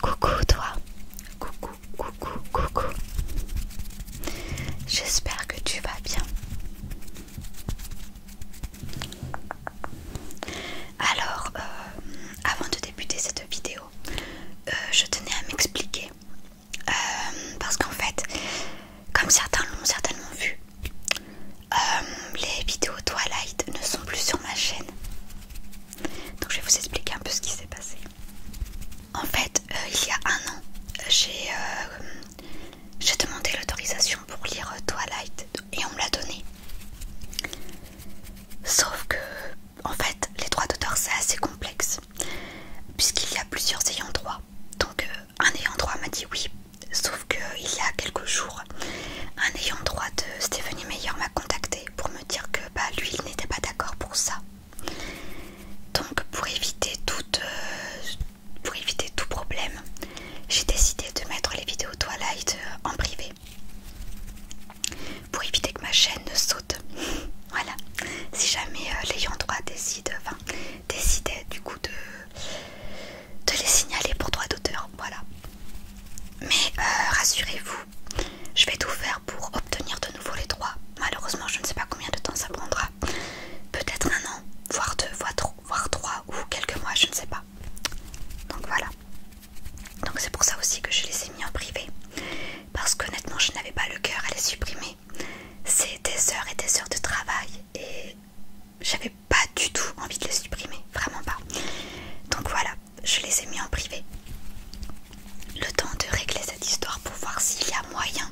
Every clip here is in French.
Coucou toi, coucou, coucou, coucou. J'espère que tu vas bien. Alors, euh, avant de débuter cette vidéo, euh, je tenais à m'expliquer. Euh, parce qu'en fait, comme certains l'ont certainement vu, euh, les vidéos Twilight ne sont plus sur ma chaîne. Donc je vais vous expliquer un peu ce qui s'est passé. En fait, il y a un an, j'ai demandé l'autorisation pour lire Twilight et on me l'a donné Sauf que en fait, les droits d'auteur c'est assez complexe puisqu'il y a plusieurs ayants droit. Donc, euh, un ayant droit m'a dit oui, sauf qu'il y a quelques jours, un ayant droit de Stephanie Meyer m'a contacté pour me dire que bah, lui il n'était pas d'accord pour ça. Donc, pour éviter, euh, pour éviter tout problème, j'ai décidé de mettre les vidéos Twilight euh, en privé pour éviter que ma chaîne ne saute. voilà, si jamais euh, l'ayant droit décide, enfin, décidait du coup de, de les signaler pour droit d'auteur. Voilà, mais euh, rassurez-vous, je vais tout faire pour obtenir de nouveau les droits. Malheureusement, je ne sais pas combien de temps ça prendra, peut-être un an, voire deux, voire trois, voire trois ou quelques mois, je ne sais pas. Donc voilà. Donc c'est pour ça aussi que je les ai mis en privé parce qu'honnêtement je n'avais pas le cœur à les supprimer. C'est des heures et des heures de travail et j'avais pas du tout envie de les supprimer, vraiment pas. Donc voilà, je les ai mis en privé. Le temps de régler cette histoire pour voir s'il y a moyen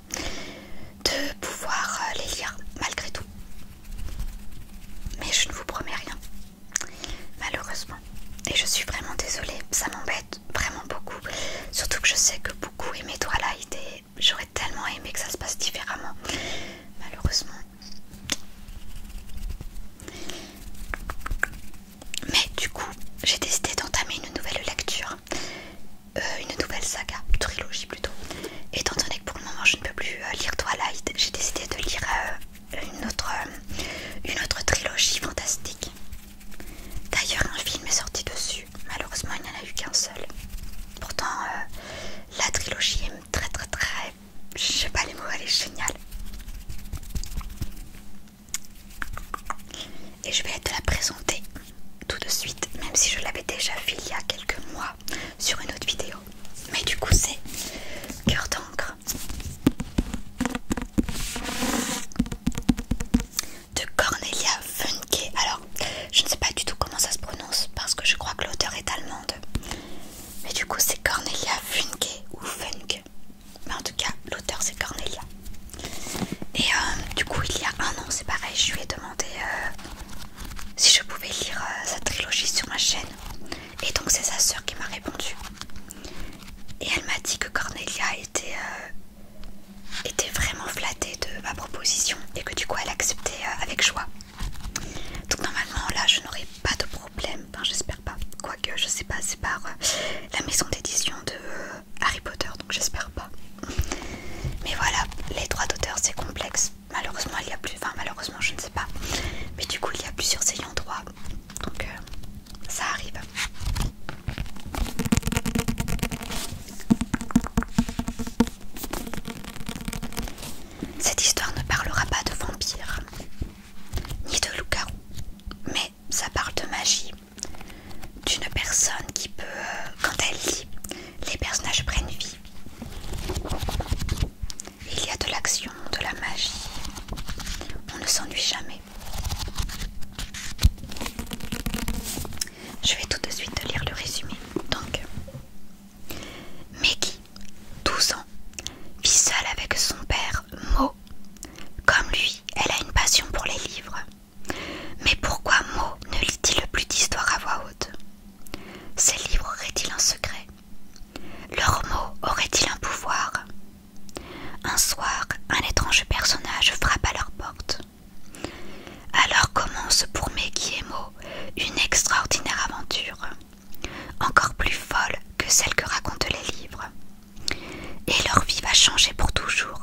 de pouvoir euh, les lire malgré tout. Mais je ne vous promets rien, malheureusement. Et je suis vraiment désolée, ça m'embête vraiment beaucoup. Surtout que je sais que beaucoup aimaient Twilight et j'aurais tellement aimé que ça se passe différemment. Malheureusement. Mais du coup, j'ai décidé d'entamer une nouvelle lecture, euh, une nouvelle saga, trilogie plutôt. Étant donné que pour le moment je ne peux plus euh, lire Twilight, j'ai décidé de lire euh, une, autre, une autre trilogie fantastique. D'ailleurs, un film est sorti dessus. Malheureusement, il n'y en a eu qu'un seul. Pourtant, euh, la trilogie est très, très, très. Je sais pas les mots, elle est géniale. Et je vais te la présenter tout de suite, même si je l'avais déjà vue il y a quelques mois sur une autre vidéo. Mais du coup, c'est Cœur d'encre de Cornelia Funke. Alors, je ne sais pas du tout comment ça se prononce parce que je crois que l'auteur est allemande. Mais du coup, c'est Cornelia Funke ou Funke. Mais en tout cas, l'auteur c'est Cornelia. Et euh, du coup, il y a un an, c'est pareil, je lui ai demandé euh, si je pouvais lire euh, sa trilogie sur ma chaîne. Et donc, c'est sa sœur qui m'a répondu. Et elle m'a dit que Cornelia était, euh, était vraiment flattée de ma proposition et que du coup elle acceptait euh, avec joie. Donc normalement là je n'aurais pas de problème, enfin j'espère pas, quoique je sais pas, c'est par euh, la maison d'édition de Harry Potter donc j'espère pas. Mais voilà, les droits d'auteur c'est complexe, malheureusement il y a plus, enfin malheureusement je ne sais pas, mais du coup il y a plusieurs ayants droit donc euh, ça arrive. Cette histoire ne parlera pas de vampires, ni de loup garous mais ça parle de magie, d'une personne qui peut, euh, quand elle lit, les personnages prennent vie. Il y a de l'action, de la magie, on ne s'ennuie jamais. Je vais tout de suite te lire le résumé. Donc, Maggie, 12 ans, vit seule avec son père Mo. Comme lui, elle a une passion pour les livres. Mais pourquoi Mo ne lit-il plus d'histoires à voix haute Ses livres auraient-ils un secret Leur mot aurait-il un pouvoir un soir, un étrange personnage frappe à leur porte. Alors commence pour et Mo une extraordinaire aventure, encore plus folle que celle que racontent les livres. Et leur vie va changer pour toujours.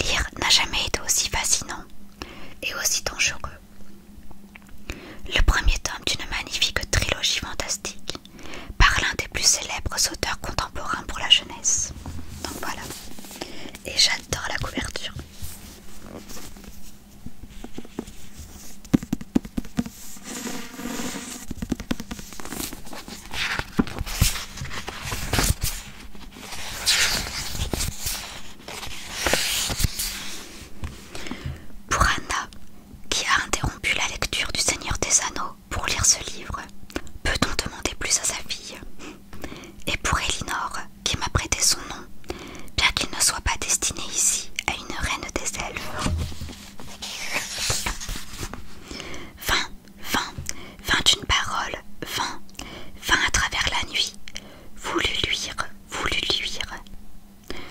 Lire n'a jamais été aussi fascinant et aussi dangereux. Le premier tome d'une magnifique trilogie fantastique par l'un des plus célèbres auteurs contemporains pour la jeunesse. Donc voilà. Et j'adore la couverture. Pour Anna, qui a interrompu la lecture du Seigneur des Anneaux pour lire ce livre, peut-on demander plus à sa fille Et pour Elinor, qui m'a prêté son nom, bien qu'il ne soit pas destiné ici à une reine des elfes. Vint, fin, fin d'une parole, fin, fin à travers la nuit, voulu luire, voulu luire.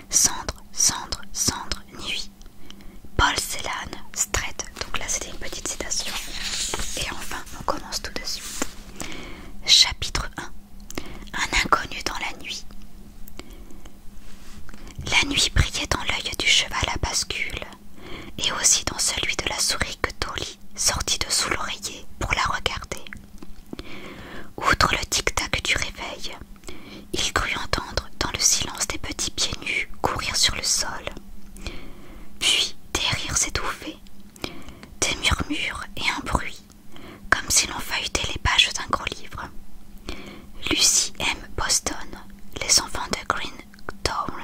Cendre, cendre, cendre, nuit, Paul Celan Strait. Donc là, c'était une petite citation. Et enfin, on commence tout de suite. Chapitre 1 Un inconnu dans la nuit. La nuit brillait dans l'œil du cheval à bascule et aussi dans celui de la souris que Tolly sortit de sous l'oreiller pour la regarder. Outre le tic-tac du réveil, il crut entendre dans le silence des petits pieds nus courir sur le sol, puis des rires étouffés, des murmures et un bruit, comme si l'on feuilletait les pages d'un gros livre. Lucy M. Boston, les enfants de Green Town.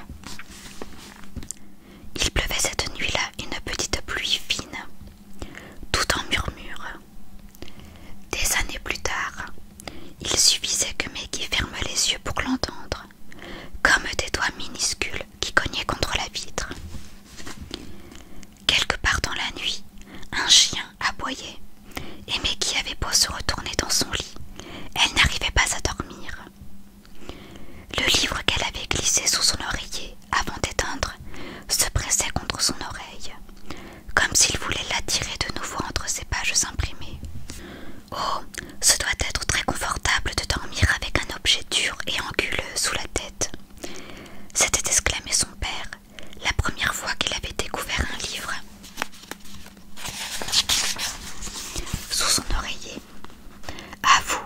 Il pleuvait cette nuit-là une petite pluie fine, tout en murmure. Des années plus tard, il suffisait que Maggie ferme les yeux pour l'entendre, comme des doigts minuscules qui cognaient contre la vitre. Quelque part dans la nuit, un chien aboyait, et Maggie avait beau se retourner dans son lit, elle n'arrivait pas à dormir. Le livre qu'elle avait glissé sous son oreiller avant d'éteindre se pressait contre son oreille, comme s'il voulait l'attirer de nouveau entre ses pages imprimées. Oh, ce doit être très confortable de dormir avec un objet dur et anguleux sous la tête. S'était exclamé son père, la première fois qu'il avait découvert un livre. Sous son oreiller. À vous,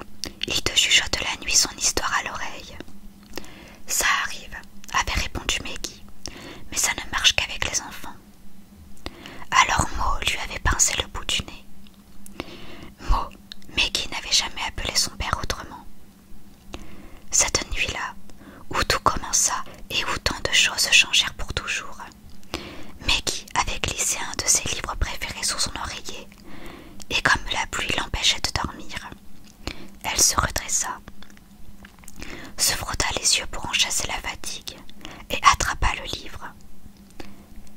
il te de la nuit son histoire à l'oreille. Ça arrive, avait répondu Maggie, mais ça ne marche qu'avec les enfants. Alors Mo lui avait pincé le bout du nez. Mo, Maggie n'avait jamais appelé son père autrement. Cette nuit-là, où tout commença et où tant de choses changèrent pour toujours, Maggie avait glissé un de ses livres préférés sous son oreiller, et comme la pluie l'empêchait de dormir, elle se redressa se frotta les yeux pour en chasser la fatigue et attrapa le livre.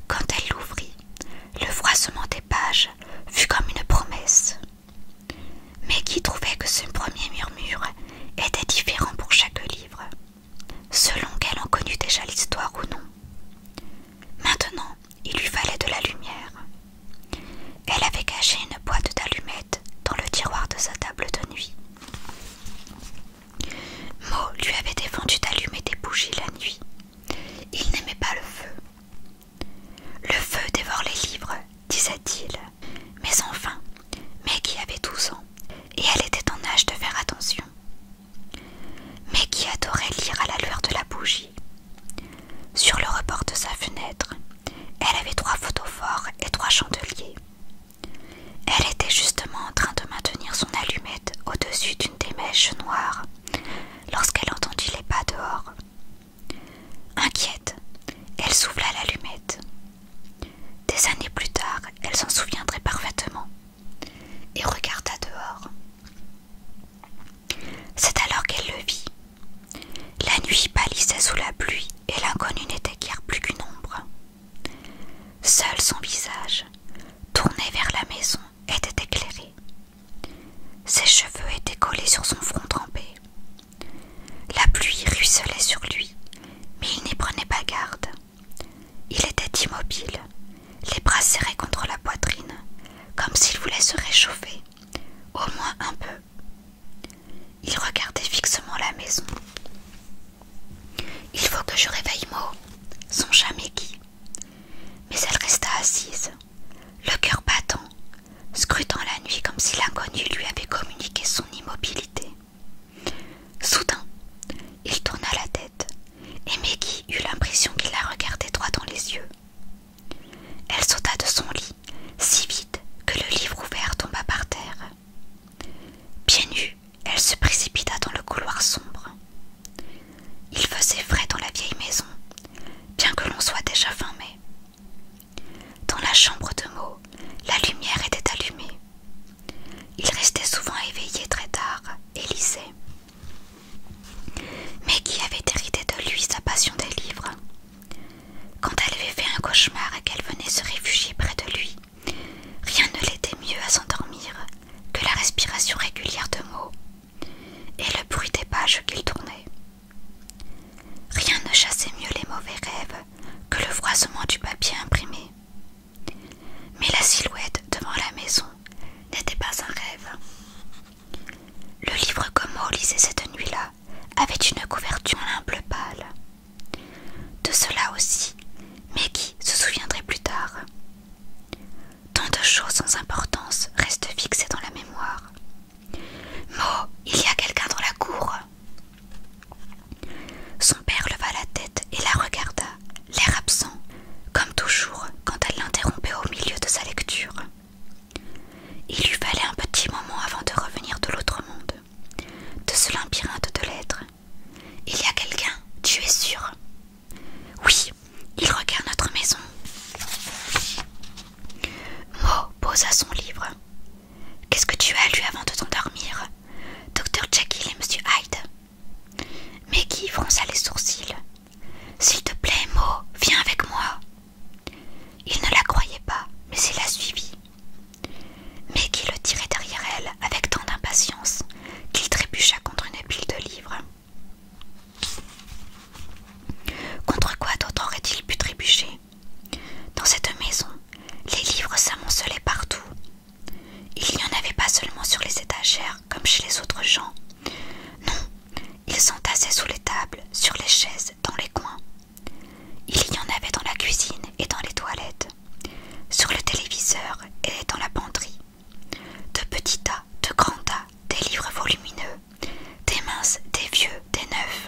Quand elle l'ouvrit, le froissement des pages fut comme une promesse. Mais qui trouvait que ce premier murmure était différent pour chaque livre, selon qu'elle en connût déjà l'histoire ou non. Maintenant, il lui fallait de la lumière. Elle avait caché une boîte d'allumettes dans le tiroir de sa table de nuit. Mo lui avait défendu d'allumer des bougies la nuit. Il n'aimait pas le feu. Le feu dévore les livres, disait-il. Mais enfin, qui avait douze ans et elle était en âge de faire attention. qui adorait lire à la lueur de la bougie. Sur le rebord de sa fenêtre, elle avait trois photophores et trois chandeliers. Elle était justement en train de maintenir son allumette au-dessus d'une des mèches noires lorsqu'elle entendit les pas dehors. Inquiète, elle souffla l'allumette. Des années plus tard, elle s'en souviendrait parfaitement et regarda dehors. C'est alors qu'elle le vit. La nuit pâlissait sous la pluie et l'inconnu n'était guère plus qu'une ombre. Seul son visage, tourné vers la maison, était éclairé. Ses cheveux étaient collés sur son front trempé. La pluie ruisselait sur lui, mais il n'y prenait pas garde. Il était immobile, les bras serrés contre la poitrine, comme s'il voulait se réchauffer, au moins un peu. Il regardait fixement la maison. Il faut que je réveille Mo, songea chat Maggie. Mais elle resta assise, le cœur battant, scrutant la nuit comme si l'inconnu lui avait communiqué son immobilité. Soudain, il tourna la tête et Maggie eut l'impression qu'il la regardait droit dans les yeux. Elle sauta de son lit si vite que le livre ouvert tomba par terre. Bien nus, elle se précipita dans le couloir sombre. Il faisait frais dans la vieille maison, bien que l'on soit déjà fin mai. Dans la chambre de Meaux, la lumière était allumée. Il restait souvent éveillé très tard et lisait. qui avait hérité de lui sa passion des livres. Quand elle avait fait un cauchemar et qu'elle venait se réfugier près de lui, Rien ne l'aidait mieux à s'endormir que la respiration régulière de Mo et le bruit des pages qu'il tournait. Rien ne chassait mieux les mauvais rêves que le froissement du papier imprimé. Mais la silhouette devant la maison n'était pas un rêve. Le livre que Mo lisait cette nuit-là avait une couverture en pâle. De cela aussi, mais qui se souviendrait plus tard. Tant de choses sans importance restent fixées dans la mémoire. Mo, il y a quelqu'un dans la cour. Son père leva la tête et la regarda, l'air absent, comme toujours quand elle l'interrompait au milieu de sa lecture. Il lui fallait un petit moment avant de revenir de l'autre monde, de ce labyrinthe de lettres, il y a quelqu'un, tu es sûr Oui, il regarde notre maison. Mo posa son livre. Qu'est-ce que tu as lu avant de t'endormir Docteur Jekyll et Monsieur Hyde qui fronça les sourcils. S'il te plaît, Mo, viens avec moi. Il ne la croyait pas, mais il la suivit mais qui le tirait derrière elle avec tant d'impatience qu'il trébucha contre une pile de livres. Contre quoi d'autre aurait-il pu trébucher Dans cette maison, les livres s'amoncelaient partout. Il n'y en avait pas seulement sur les étagères comme chez les autres gens. Non, ils sont s'entassaient sous les tables, sur les chaises, dans les coins. Il y en avait dans la cuisine et dans les toilettes, sur le téléviseur et dans la penderie. De petits tas, de grands tas, des livres volumineux, des minces, des vieux, des neufs.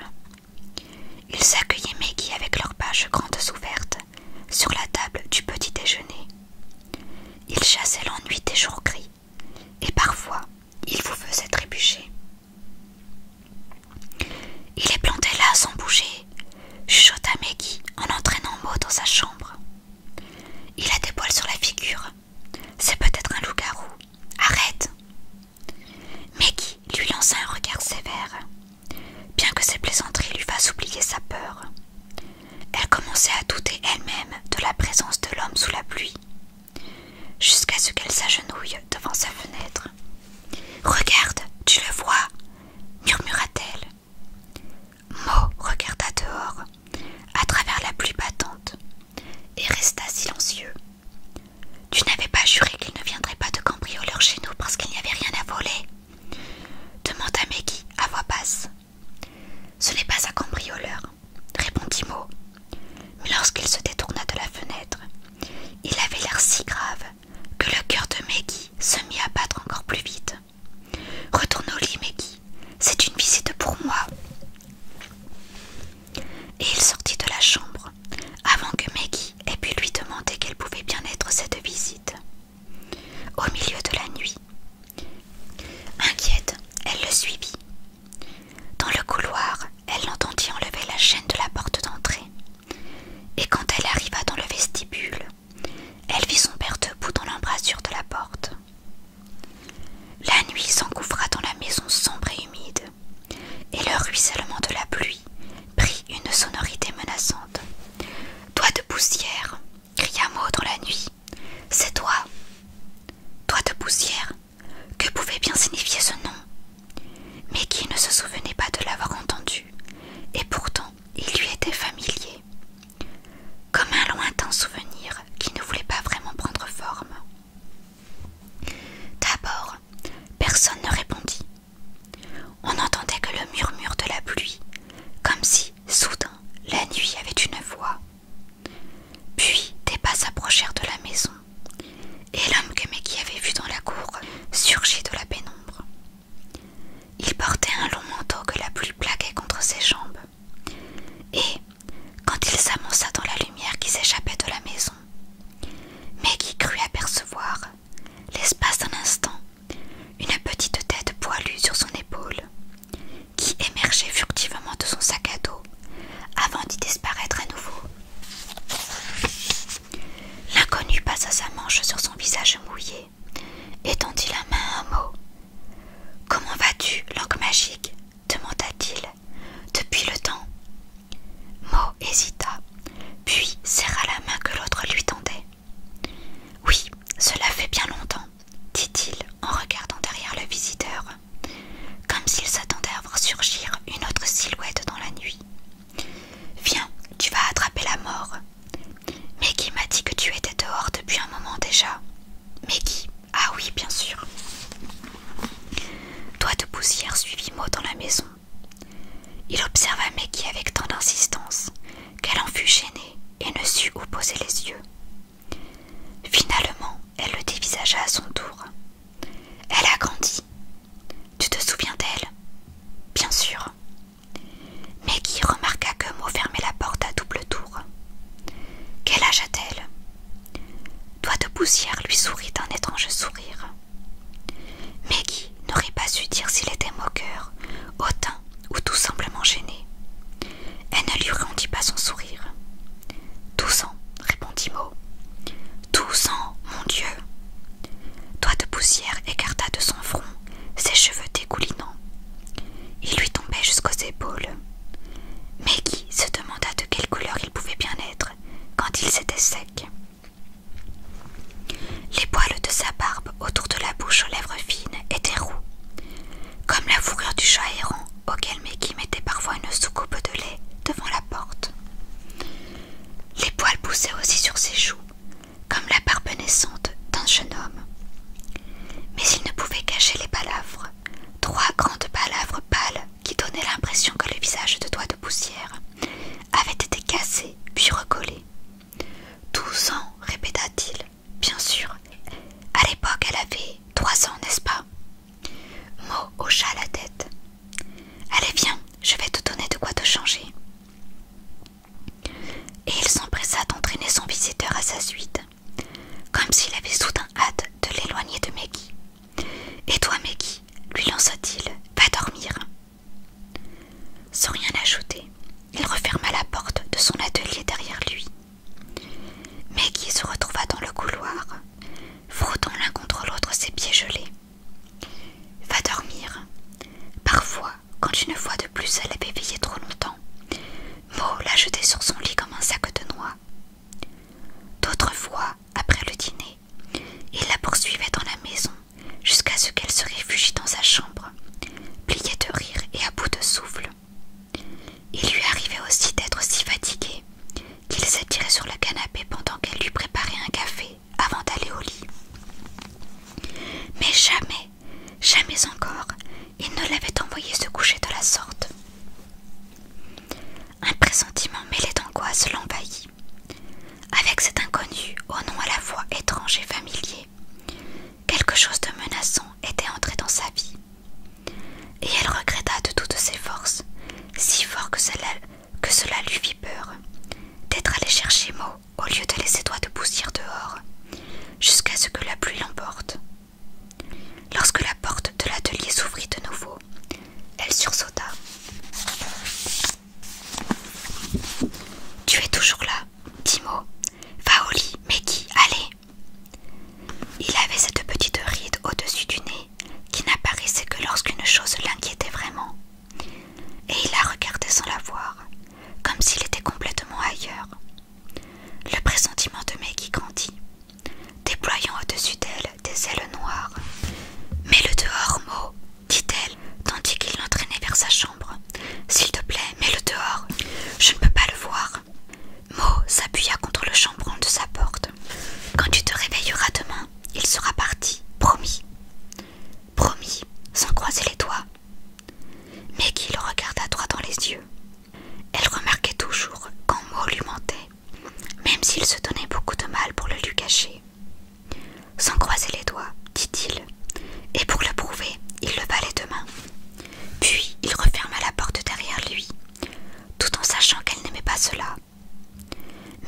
Ils accueillaient Maggie avec leurs pages grandes ouvertes, sur la table du petit déjeuner. Ils chassaient l'ennui des jours gris, et parfois ils vous faisaient trébucher. Il est planté là sans bouger, chuchota Maggie en entraînant Mo dans sa chambre. Il a des poils sur la figure. C'est peut-être un loup-garou. Arrête Maggie lui lança un regard sévère, bien que ses plaisanteries lui fassent oublier sa peur. Elle commençait à douter elle-même de la présence de l'homme sous la pluie, jusqu'à ce qu'elle s'agenouille devant sa fenêtre. Regarde, tu le vois murmura-t-elle. Mo regarda dehors, à travers la pluie battante, et resta silencieux. Tu n'avais pas juré qu'il ne viendrait pas de cambrioleur chez nous parce qu'il n'y avait rien à voler demanda Maggie à voix basse. Ce n'est pas un cambrioleur, répondit Mo. Mais lorsqu'il se détourna de la fenêtre, il avait l'air si grave que le cœur de Maggie se mit à battre encore plus vite. Retourne au lit, Maggie, c'est une visite pour moi. Et il sortit de la chambre avant que Maggie ait pu lui demander quelle pouvait bien être cette visite. Au milieu de la nuit, inquiète, elle le suivit. Dans le couloir, elle l'entendit enlever la chaîne de la porte d'entrée. Et quand elle arriva dans le vestibule, elle vit son père debout dans l'embrasure de la porte. La nuit s'engouffra dans la maison sombre et humide, et le ruissellement de la pluie prit une sonorité menaçante. Toi de poussière, cria Maud dans la nuit, c'est toi. Toi de poussière, que pouvait bien signifier ce nom mais qui ne se souvenait pas de l'avoir entendu, et pourtant il lui était familier, comme un lointain souvenir qui ne voulait pas vraiment prendre forme. D'abord, personne ne répondit. On n'entendait que le murmure de la pluie, comme si, soudain, la nuit avait une voix. Puis des pas s'approchèrent de la maison, et l'homme que Maggie avait vu dans la cour surgit de la pénombre. Il portait un long manteau que la pluie plaquait contre ses jambes. Et, quand il s'amonça dans la lumière qui s'échappait de la maison, Maggie crut apercevoir, l'espace d'un instant, une petite tête poilue sur son épaule, qui émergeait furtivement de son sac à dos avant d'y disparaître à nouveau. L'inconnu passa sa manche sur son visage mouillé et tendit la main à Mo. « Comment vas-tu, langue magique demanda-t-il. Depuis le temps Mo hésita, puis serra la main que l'autre lui tendait. Oui, cela fait bien longtemps, dit-il en regardant derrière le visiteur, comme s'il s'attendait à voir surgir une autre silhouette dans la nuit. Viens, tu vas attraper la mort. qui m'a dit que tu étais dehors depuis un moment déjà. Maggie Ah oui, bien sûr. Toi de poussière suivit moi dans la maison. Il observa Maggie avec tant d'insistance qu'elle en fut gênée et ne sut où poser les yeux. Finalement, elle le dévisagea à son tour. Elle a grandi. Tu te souviens d'elle Bien sûr. Maggie remarqua que Mo fermait la porte à double tour. Quel âge a-t-elle toi de poussière lui sourit d'un étrange sourire. Maggie n'aurait pas su dire s'il était moqueur, hautain ou tout simplement gêné. Elle ne lui rendit pas son sourire. Tous ans, répondit Mo. Tous ans, mon Dieu Doigt de poussière écarta de son front ses cheveux dégoulinants. Ils lui tombaient jusqu'aux épaules. Maggie se demanda de quelle couleur il pouvait bien être quand il s'était secs. Les poils de sa barbe autour de la bouche aux lèvres fines étaient roux, comme la fourrure du chat errant auquel Maggie mettait parfois une soucoupe de lait devant la porte. Les poils poussaient aussi sur ses joues, comme la barbe naissante d'un jeune homme. Mais il ne pouvait cacher les palavres, trois grandes palavres pâles qui donnaient l'impression que le visage de doigt de poussière avait été cassé puis recollé. Douze ans, répéta-t-il, bien sûr. À l'époque, elle avait trois ans, n'est-ce pas Mo hocha la tête. Allez, viens, je vais te donner de quoi te changer. Et il s'empressa d'entraîner son visiteur à sa suite, comme s'il avait soudain hâte de l'éloigner de Maggie. Et toi, Maggie, lui lança-t-il, va dormir. Sans rien ajouter, il referma la porte de son atelier derrière lui. Maggie se retrouva dans le couloir, frottant l'un contre l'autre ses pieds gelés. Va dormir. Parfois, quand une fois de plus elle avait veillé trop longtemps, Mo la jetait sur son lit comme un sac de noix. D'autres fois, après le dîner, il la poursuivait dans la maison jusqu'à ce qu'elle se réfugie dans sa chambre, pliée de rire et à bout de souffle. Il lui arrivait aussi d'être si fatigué qu'il s'attirait sur le canapé pendant qu'elle lui préparait un café avant d'aller au lit. Mais jamais, jamais encore, il ne l'avait envoyé se coucher de la sorte. Un pressentiment mêlé d'angoisse l'envahit. Avec cet inconnu, au nom à la fois étrange et familier, quelque chose de menaçant était entré dans sa vie. Et elle regretta de toutes ses forces, si fort que cela, lui fit peur, d'être allée chercher Mo au lieu de laisser toi te pousser dehors, jusqu'à ce que la pluie l'emporte. Lorsque la porte de l'atelier s'ouvrit de nouveau, elle sursauta. Tu es toujours là, Timo. Va au lit, Maggie, allez. Il avait cette petite ride au-dessus du nez qui n'apparaissait que lorsqu'une chose l'inquiétait vraiment. Et il la regardait sans la voir, comme s'il était complètement ailleurs. Le pressentiment de qui grandit, déployant au-dessus d'elle des ailes noires. Mais le dehors, Mo, dit-elle, tandis qu'il l'entraînait vers sa chambre. S'il te plaît, mets-le dehors. Je ne peux pas le voir. Mo s'appuya contre le chambranle de sa porte. Quand tu te réveilleras demain, il sera parti, promis promis, sans croiser les doigts. Maggie le regarda droit dans les yeux. Elle remarquait toujours quand mot lui mentait, même s'il se donnait beaucoup de mal pour le lui cacher. Sans croiser les doigts, dit-il, et pour le prouver, il leva les deux mains. Puis il referma la porte derrière lui, tout en sachant qu'elle n'aimait pas cela.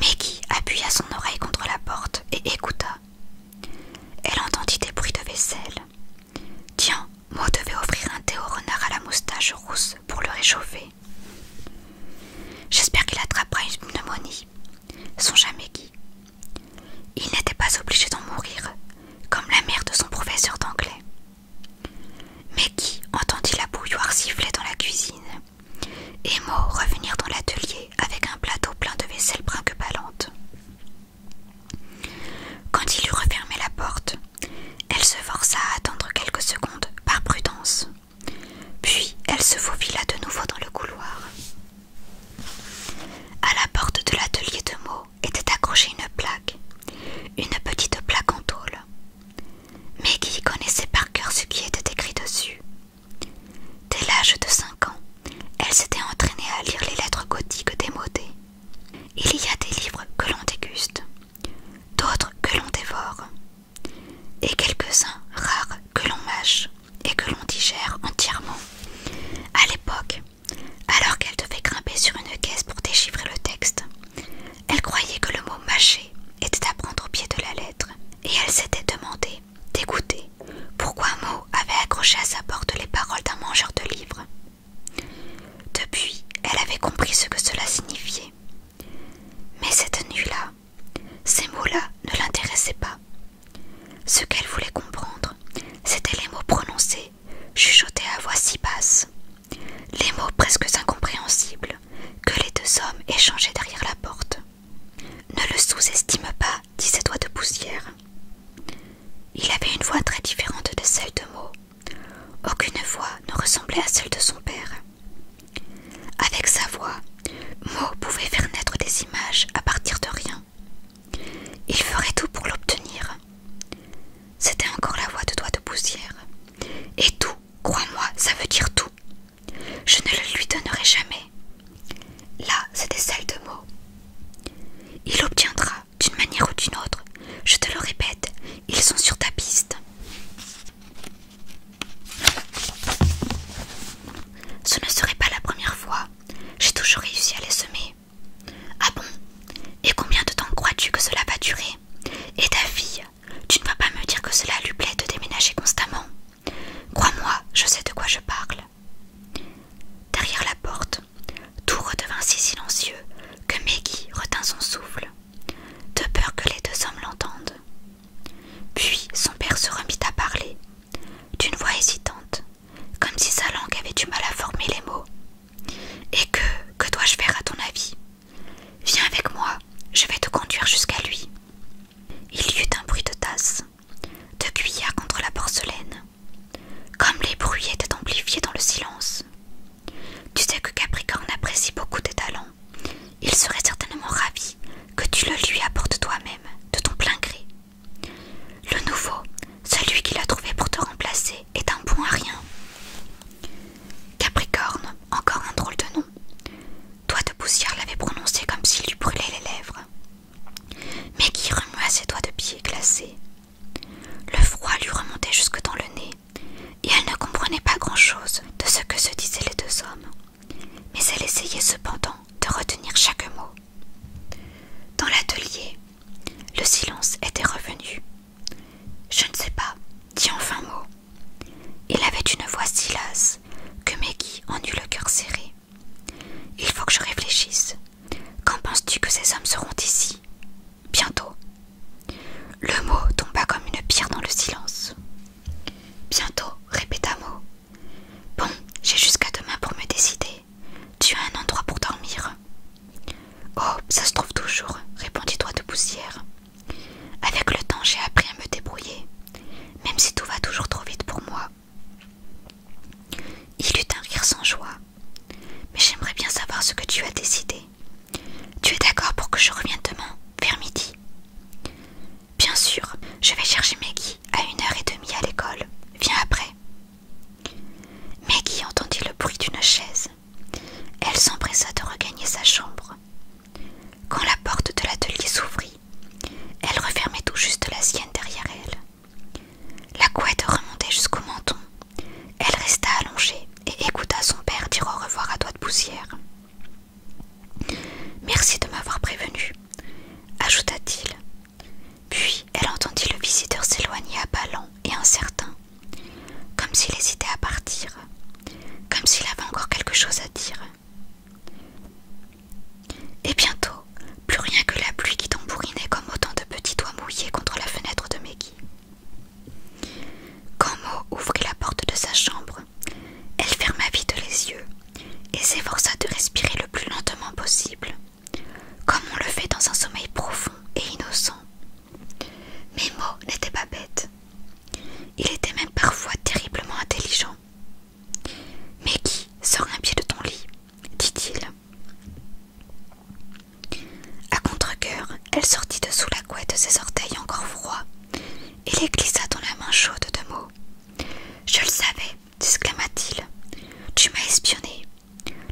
Maggie appuya son oreille contre la porte et écouta. Elle entendit des bruits de vaisselle. Tiens, moi devais offrir un thé au renard à la moustache rousse pour le réchauffer. J'espère qu'il attrapera une pneumonie. Songea Maggie. Il n'était pas obligé d'en mourir, comme la mère de son professeur d'anglais. Maggie entendit la bouilloire siffler dans la cuisine et Mo revenir dans l'atelier avec un plateau plein de vaisselle brinque Quand il eut refermé la porte, elle se força à attendre quelques secondes par prudence. Puis elle se faufila de nouveau dans le couloir. À la porte de l'atelier de Mo était accrochée une plaque, une petite plaque en tôle. Mais Maggie connaissait par cœur ce qui était écrit dessus, Dès l'âge de 5 ans, elle s'était entraînée à lire les lettres gothiques démodées. Il y a des livres que l'on déguste, d'autres que l'on dévore, et quelques-uns rares que l'on mâche et que l'on digère entièrement. À l'époque, alors qu'elle devait grimper sur une caisse pour déchiffrer le texte, elle croyait que le mot mâcher était à prendre au pied de la lettre, et elle s'était demandée D'écouter pourquoi Mo avait accroché à sa porte les paroles d'un mangeur de livres. Depuis, elle avait compris ce que cela signifiait. Mais cette nuit-là, ces mots-là ne l'intéressaient pas. Ce qu'elle voulait comprendre, c'étaient les mots prononcés, chuchotés à voix si basse, les mots presque incompréhensibles que les deux hommes échangeaient derrière la porte. Ne le sous-estime pas, dit ses doigts de poussière. Il avait une voix très différente de celle de Mo. Aucune voix ne ressemblait à celle de son père. Avec sa voix, Mo pouvait faire naître des images à partir de rien. Il ferait tout pour l'obtenir. C'était encore la voix de doigt de poussière. Et tout, crois-moi, ça veut dire tout. Je ne le lui donnerai jamais. Là, c'était celle de moi. »« Il obtiendra, d'une manière ou d'une autre. Je te le répète, ils sont sur ta piste. Ce ne serait pas la première fois. J'ai toujours réussi à les semer. Ah bon Et combien de temps crois-tu que cela va durer Et ta fille, tu ne vas pas me dire que cela lui plaît de déménager constamment Crois-moi, je sais de quoi je parle. Derrière la porte, tout redevint si silencieux que Maggie retint son souffle, de peur que les deux hommes l'entendent. Puis son père se remit à parler, d'une voix hésitante, comme si sa langue avait du mal à former les mots. Et que, que dois-je faire à ton avis Viens avec moi, je vais te conduire jusqu'à lui. Il y eut un bruit de tasse, de cuillère contre la porcelaine. Comme les bruits étaient amplifiés dans le silence. Tu sais que Capricorne apprécie beaucoup tes talents. Il serait certainement ravi que tu le lui apportes toi-même, de ton plein gré. Le nouveau, celui qu'il a trouvé pour te remplacer, est un bon à rien. Capricorne, encore un drôle de nom. Doigt de poussière l'avait prononcé comme s'il lui brûlait les lèvres. Maggie remua ses doigts de pieds glacés. Le froid lui remontait jusque dans le nez, et elle ne comprenait pas grand-chose de ce que se disaient les deux hommes. Mais elle essayait cependant de retenir chaque mot. Dans l'atelier, le silence était revenu. Je ne sais pas, dit enfin mot. Il avait une voix si lasse que Maggie en eut le cœur serré. Il faut que je réfléchisse. Quand penses-tu que ces hommes seront ici Bientôt. Le mot tomba comme une pierre dans le silence. Bientôt, répéta Mo. Bon, j'ai jusqu'à demain pour me décider. Tu as un endroit pour dormir. Oh, ça se trouve toujours, répondit toi de Poussière. Avec le temps, j'ai appris à me débrouiller même si tout va toujours trop vite pour moi. Il eut un rire sans joie. Mais j'aimerais bien savoir ce que tu as décidé. Tu es d'accord pour que je revienne demain, vers midi Bien sûr, je vais chercher Maggie à une heure et demie à l'école. Viens après. Maggie entendit le bruit d'une chaise. Elle s'empressa de regagner sa chambre. Quand la porte de l'atelier s'ouvrit, elle refermait tout juste la sienne derrière elle. La couette remontait jusqu'au menton. Elle resta allongée et écouta son père dire au revoir à doigts de poussière. Merci de m'avoir prévenu, ajouta-t-il. Puis elle entendit le visiteur s'éloigner à pas lents et incertain, comme s'il hésitait à partir, comme s'il avait encore quelque chose à dire. Et bientôt, plus rien que la pluie qui tambourinait comme autant de petits doigts mouillés contre la fenêtre de Maggie. Quand Mo ouvrit la porte de sa chambre, elle ferma vite les yeux et s'efforça de respirer le plus lentement possible, comme on le fait dans un sommeil profond et innocent. Mais Mo n'était pas bête. Il était même parfois terriblement intelligent. Mais qui sort un pied de ton lit dit-il. À contre-coeur, elle sortit de sous la couette ses orteils encore froids et les glissa dans la main chaude de Mo. Je le savais, » t il Tu m'as espionné.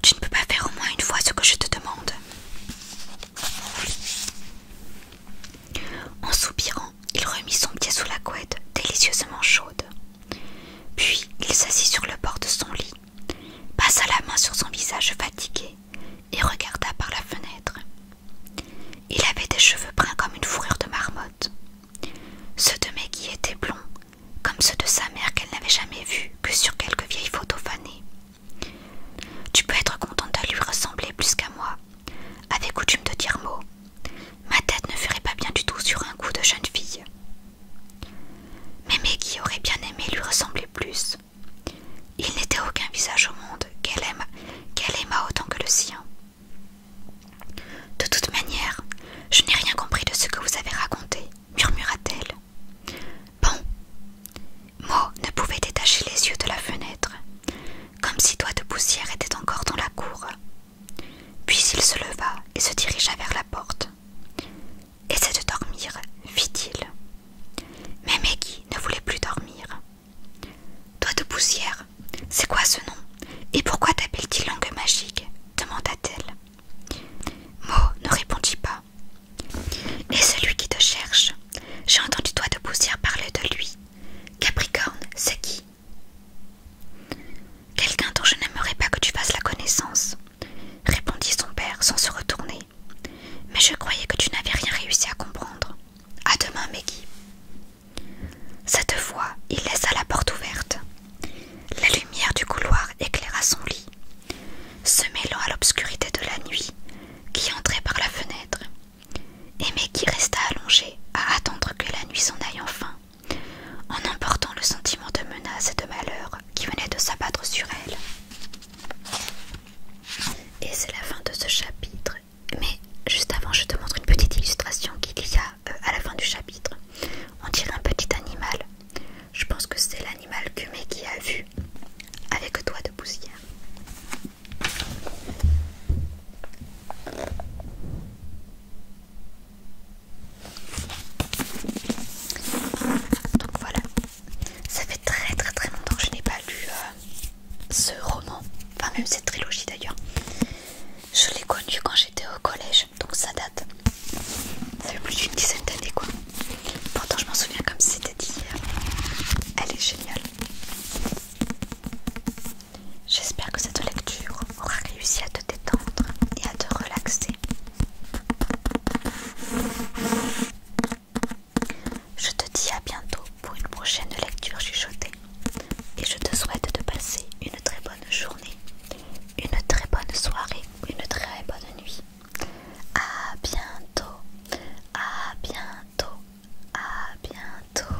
Tu ne peux pas faire au moins une fois ce que je te demande. En soupirant, il remit son pied sous la couette, délicieusement chaude. Puis il s'assit sur le bord de son lit, passa la main sur son visage fatigué et regarda par la fenêtre. Il avait des cheveux bruns comme une fourrure de marmotte. Ceux de Maggie étaient blonds, comme ceux de sa mère qu'elle n'avait jamais vus que sur quelques vieilles photos fanées. Tu peux être contente de lui ressembler plus qu'à moi, avait coutume de dire mot. Ma tête ne ferait pas bien du tout sur un coup de jeune fille. Mais Maggie aurait bien aimé lui ressembler plus. Il n'était aucun visage au monde qu'elle aima, qu'elle autant que le sien. De toute manière, je n'ai rien compris de ce que vous avez raconté, murmura-t-elle. Bon. Mo ne pouvait détacher les yeux de la fenêtre, comme si doigts de poussière était encore dans la cour. Puis il se leva et se dirigea vers la porte. Essaie de dormir, fit-il. Mais Maggie ne voulait plus dormir. Toi de poussière, c'est quoi ce nom Et pourquoi t'appelle-t-il langue magique demanda-t-elle. Mo ne répondit pas. Et celui qui te cherche J'ai entendu toi de poussière parler de lui. Capricorne, c'est qui Quelqu'un dont je n'aimerais pas que tu fasses la connaissance, répondit son père sans se retourner. Mais je croyais que tu n'avais rien réussi à comprendre. À demain, Maggie. Cette fois, il laissa la porte ouverte. La lumière du couloir éclaira son lit, se mêlant à l'obscurité de la nuit qui entrait par la fenêtre. Et qui resta allongée à attendre que la nuit s'en aille enfin, en emportant le sentiment de menace et de malheur qui venait de s'abattre sur elle. Et c'est la fin de ce chapitre. Mais juste avant, je te montre une petite illustration qu'il y a euh, à la fin du chapitre. On dirait un petit animal. Je pense que c'est l'animal que qui a vu avec doigt de poussière. Donc voilà, ça fait très très très longtemps que je n'ai pas lu euh, ce roman, enfin même cette trilogie d'ailleurs. Je l'ai connu quand j'étais au collège, donc ça date. Ça fait plus d'une dizaine d'années quoi. Pourtant je m'en souviens comme si c'était d'hier. Elle est géniale. J'espère que cette lecture aura réussi à te détendre et à te relaxer. Je te dis à bientôt pour une prochaine lecture chuchotée et je te souhaite de passer une très bonne journée, une très bonne soirée, une très bonne nuit. À bientôt, à bientôt, à bientôt.